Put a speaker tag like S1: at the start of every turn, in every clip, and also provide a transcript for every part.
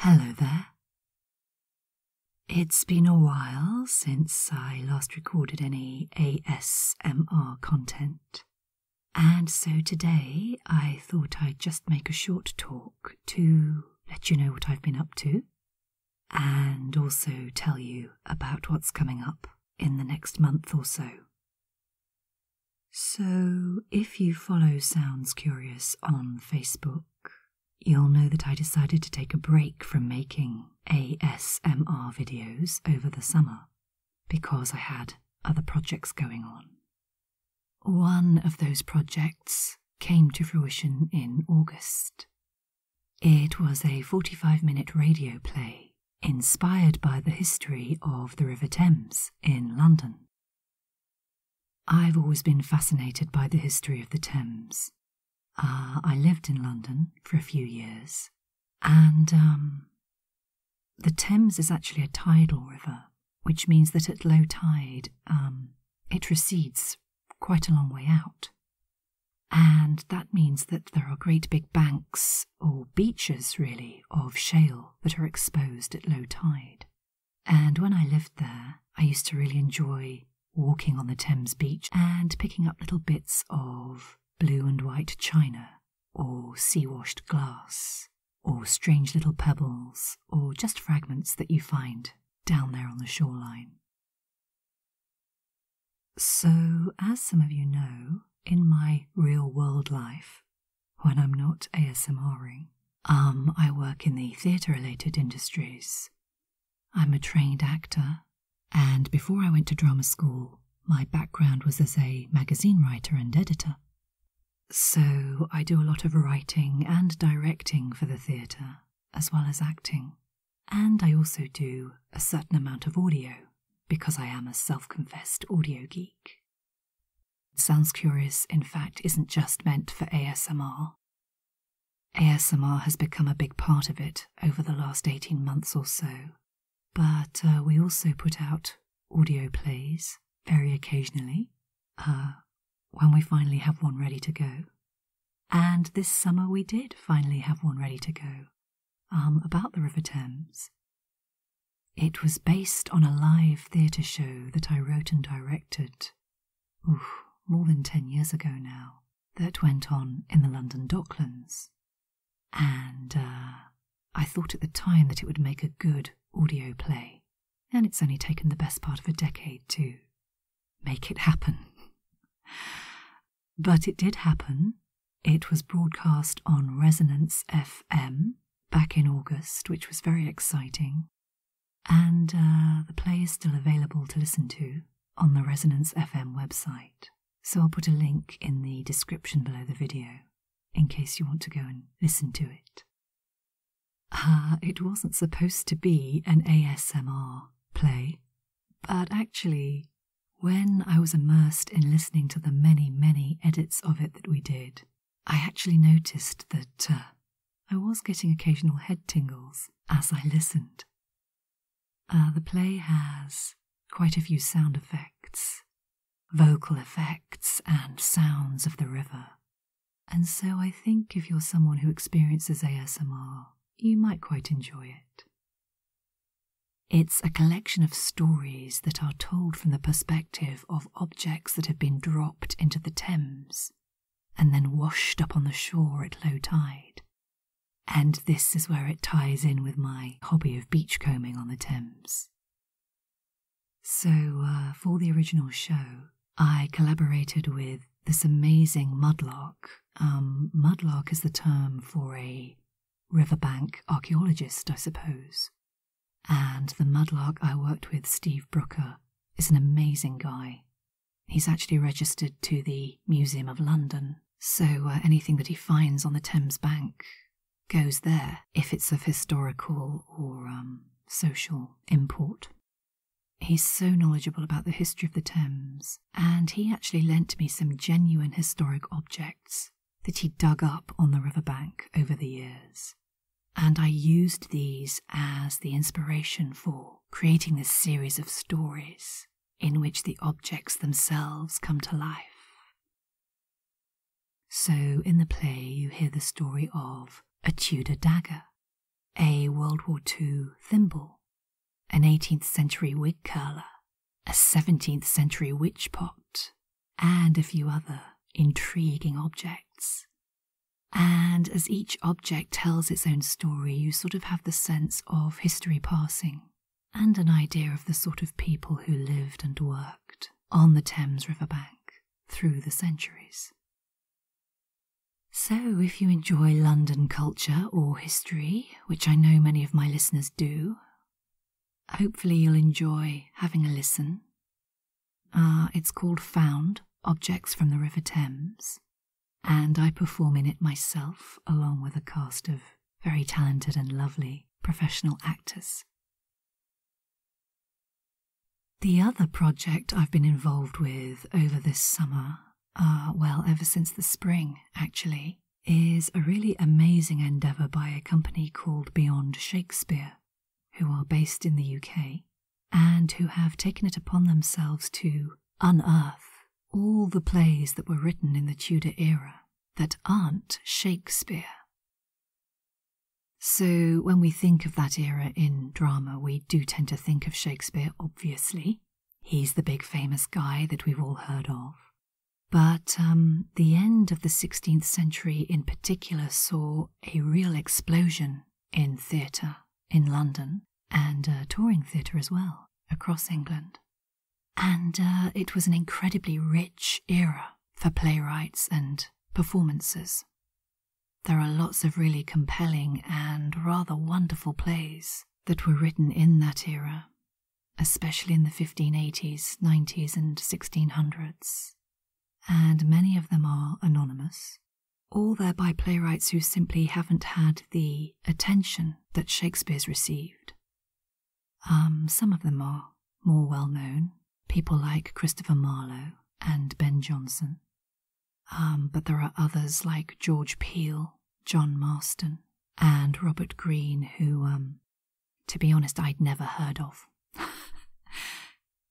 S1: Hello there. It's been a while since I last recorded any ASMR content, and so today I thought I'd just make a short talk to let you know what I've been up to and also tell you about what's coming up in the next month or so. So, if you follow Sounds Curious on Facebook, you'll know that I decided to take a break from making ASMR videos over the summer because I had other projects going on. One of those projects came to fruition in August. It was a 45 minute radio play inspired by the history of the River Thames in London. I've always been fascinated by the history of the Thames. Uh, I lived in London for a few years, and um, the Thames is actually a tidal river, which means that at low tide um, it recedes quite a long way out. And that means that there are great big banks, or beaches really, of shale that are exposed at low tide. And when I lived there, I used to really enjoy walking on the Thames beach and picking up little bits of blue and white china, or sea washed glass, or strange little pebbles, or just fragments that you find down there on the shoreline. So, as some of you know, in my real world life, when I'm not ASMRing. Um, I work in the theatre related industries. I'm a trained actor, and before I went to drama school, my background was as a magazine writer and editor. So I do a lot of writing and directing for the theatre, as well as acting. And I also do a certain amount of audio, because I am a self confessed audio geek. Sounds Curious, in fact, isn't just meant for ASMR. ASMR has become a big part of it over the last 18 months or so, but uh, we also put out audio plays very occasionally uh, when we finally have one ready to go. And this summer we did finally have one ready to go um, about the River Thames. It was based on a live theatre show that I wrote and directed, more than ten years ago now, that went on in the London Docklands. And uh, I thought at the time that it would make a good audio play, and it's only taken the best part of a decade to make it happen. but it did happen. It was broadcast on Resonance FM back in August, which was very exciting. And uh, the play is still available to listen to on the Resonance FM website. So I'll put a link in the description below the video in case you want to go and listen to it. Ah, it wasn't supposed to be an ASMR play, but actually, when I was immersed in listening to the many, many edits of it that we did, I actually noticed that uh, I was getting occasional head tingles as I listened. Uh, the play has quite a few sound effects, vocal effects, and sounds of the river. And so I think if you're someone who experiences ASMR, you might quite enjoy it. It's a collection of stories that are told from the perspective of objects that have been dropped into the Thames and then washed up on the shore at low tide. And this is where it ties in with my hobby of beachcombing on the Thames. So, uh, for the original show, I collaborated with this amazing mudlark. Um, mudlark is the term for a riverbank archaeologist, I suppose, and the mudlark I worked with, Steve Brooker, is an amazing guy. He's actually registered to the Museum of London, so uh, anything that he finds on the Thames Bank goes there if it's of historical or um, social import. He's so knowledgeable about the history of the Thames, and he actually lent me some genuine historic objects that he dug up on the riverbank over the years and I used these as the inspiration for creating this series of stories in which the objects themselves come to life. So, in the play, you hear the story of a Tudor dagger, a World War II thimble, an 18th century wig curler, a 17th century witch pot, and a few other intriguing objects. And as each object tells its own story, you sort of have the sense of history passing and an idea of the sort of people who lived and worked on the Thames riverbank through the centuries. So, if you enjoy London culture or history, which I know many of my listeners do, hopefully you'll enjoy having a listen Ah, it's called Found Objects from the River Thames, and I perform in it myself along with a cast of very talented and lovely professional actors. The other project I've been involved with over this summer, ah, well, ever since the spring actually, is a really amazing endeavour by a company called Beyond Shakespeare who are based in the UK and who have taken it upon themselves to unearth all the plays that were written in the Tudor era that aren't Shakespeare. So, when we think of that era in drama, we do tend to think of Shakespeare, obviously. He's the big famous guy that we've all heard of. But um, the end of the 16th century in particular saw a real explosion in theatre in London and a touring theatre as well across England. And uh, it was an incredibly rich era for playwrights and performances. There are lots of really compelling and rather wonderful plays that were written in that era, especially in the 1580s, 90s, and 1600s and many of them are anonymous, all thereby playwrights who simply haven't had the attention that Shakespeare's received. Um, some of them are more well known, people like Christopher Marlowe and Ben Jonson. Um, but there are others like George Peel, John Marston, and Robert Greene, who, um, to be honest, I'd never heard of.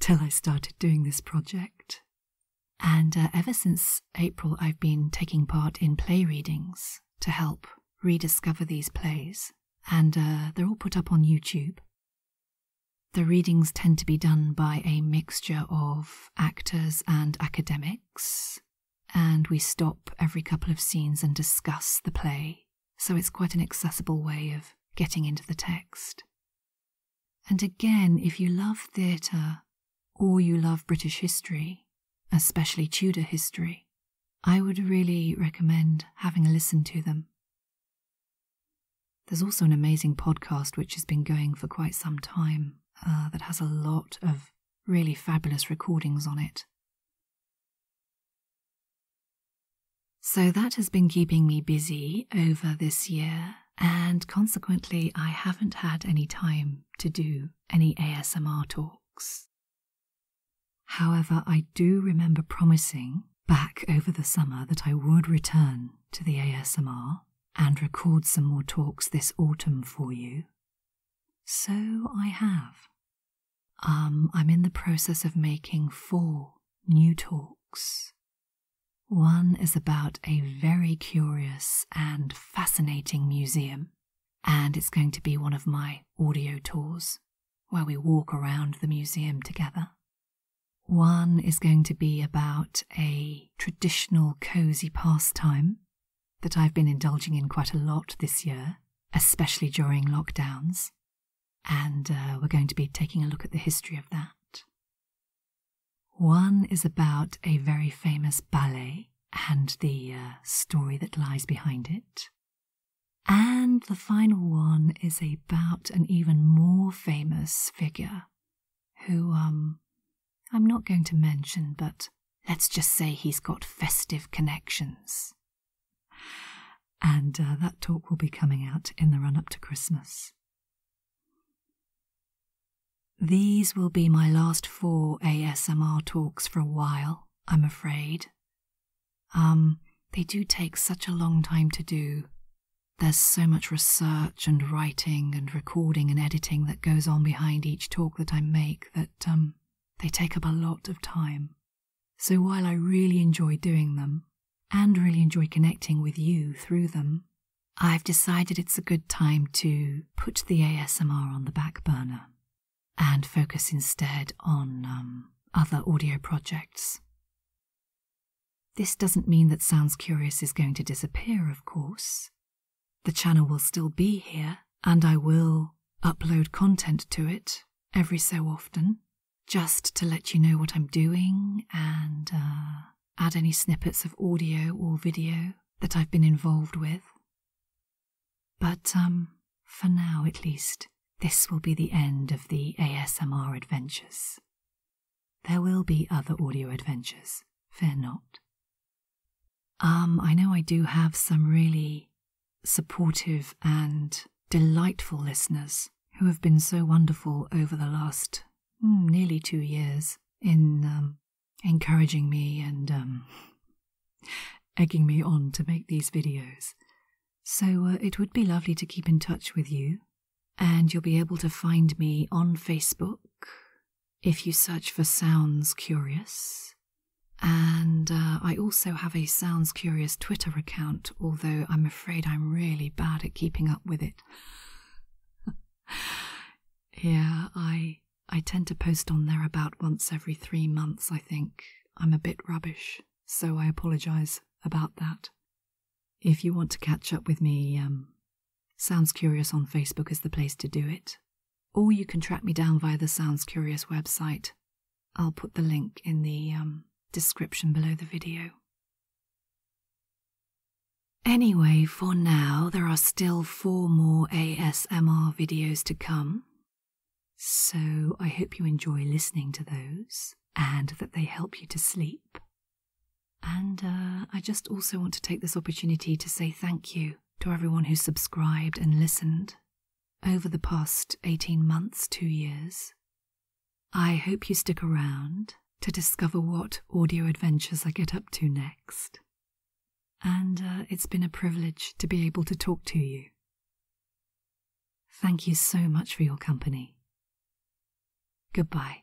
S1: till I started doing this project. And uh, ever since April, I've been taking part in play readings to help rediscover these plays, and uh, they're all put up on YouTube. The readings tend to be done by a mixture of actors and academics, and we stop every couple of scenes and discuss the play, so it's quite an accessible way of getting into the text. And again, if you love theatre or you love British history, especially Tudor history, I would really recommend having a listen to them. There's also an amazing podcast which has been going for quite some time uh, that has a lot of really fabulous recordings on it. So that has been keeping me busy over this year, and consequently, I haven't had any time to do any ASMR talks. However, I do remember promising back over the summer that I would return to the ASMR and record some more talks this autumn for you. So I have. Um, I'm in the process of making four new talks one is about a very curious and fascinating museum, and it's going to be one of my audio tours where we walk around the museum together. One is going to be about a traditional cozy pastime that I've been indulging in quite a lot this year, especially during lockdowns, and uh, we're going to be taking a look at the history of that. One is about a very famous ballet and the uh, story that lies behind it. And the final one is about an even more famous figure who um, I'm not going to mention, but let's just say he's got festive connections and uh, that talk will be coming out in the run up to Christmas. These will be my last four ASMR talks for a while, I'm afraid. Um, they do take such a long time to do. There's so much research and writing and recording and editing that goes on behind each talk that I make that um, they take up a lot of time. So while I really enjoy doing them, and really enjoy connecting with you through them, I've decided it's a good time to put the ASMR on the back burner and focus instead on um, other audio projects. This doesn't mean that Sounds Curious is going to disappear, of course. The channel will still be here, and I will upload content to it every so often just to let you know what I'm doing and uh, add any snippets of audio or video that I've been involved with. But um, for now, at least, this will be the end of the ASMR adventures. There will be other audio adventures, fear not. Um, I know I do have some really supportive and delightful listeners who have been so wonderful over the last hmm, nearly two years in um, encouraging me and um, egging me on to make these videos. So uh, it would be lovely to keep in touch with you, and you'll be able to find me on Facebook if you search for Sounds Curious. And uh, I also have a Sounds Curious Twitter account, although I'm afraid afraid I'm really bad at keeping up with it. yeah, I I tend to post on there about once every three months, I think. I'm a bit rubbish, so I apologise about that. If you want to catch up with me, um, Sounds Curious on Facebook is the place to do it. Or you can track me down via the Sounds Curious website. I'll put the link in the um, description below the video. Anyway, for now, there are still four more ASMR videos to come, so I hope you enjoy listening to those and that they help you to sleep. And uh, I just also want to take this opportunity to say thank you to everyone who subscribed and listened over the past 18 months, two years. I hope you stick around to discover what audio adventures I get up to next. And uh, it's been a privilege to be able to talk to you. Thank you so much for your company. Goodbye.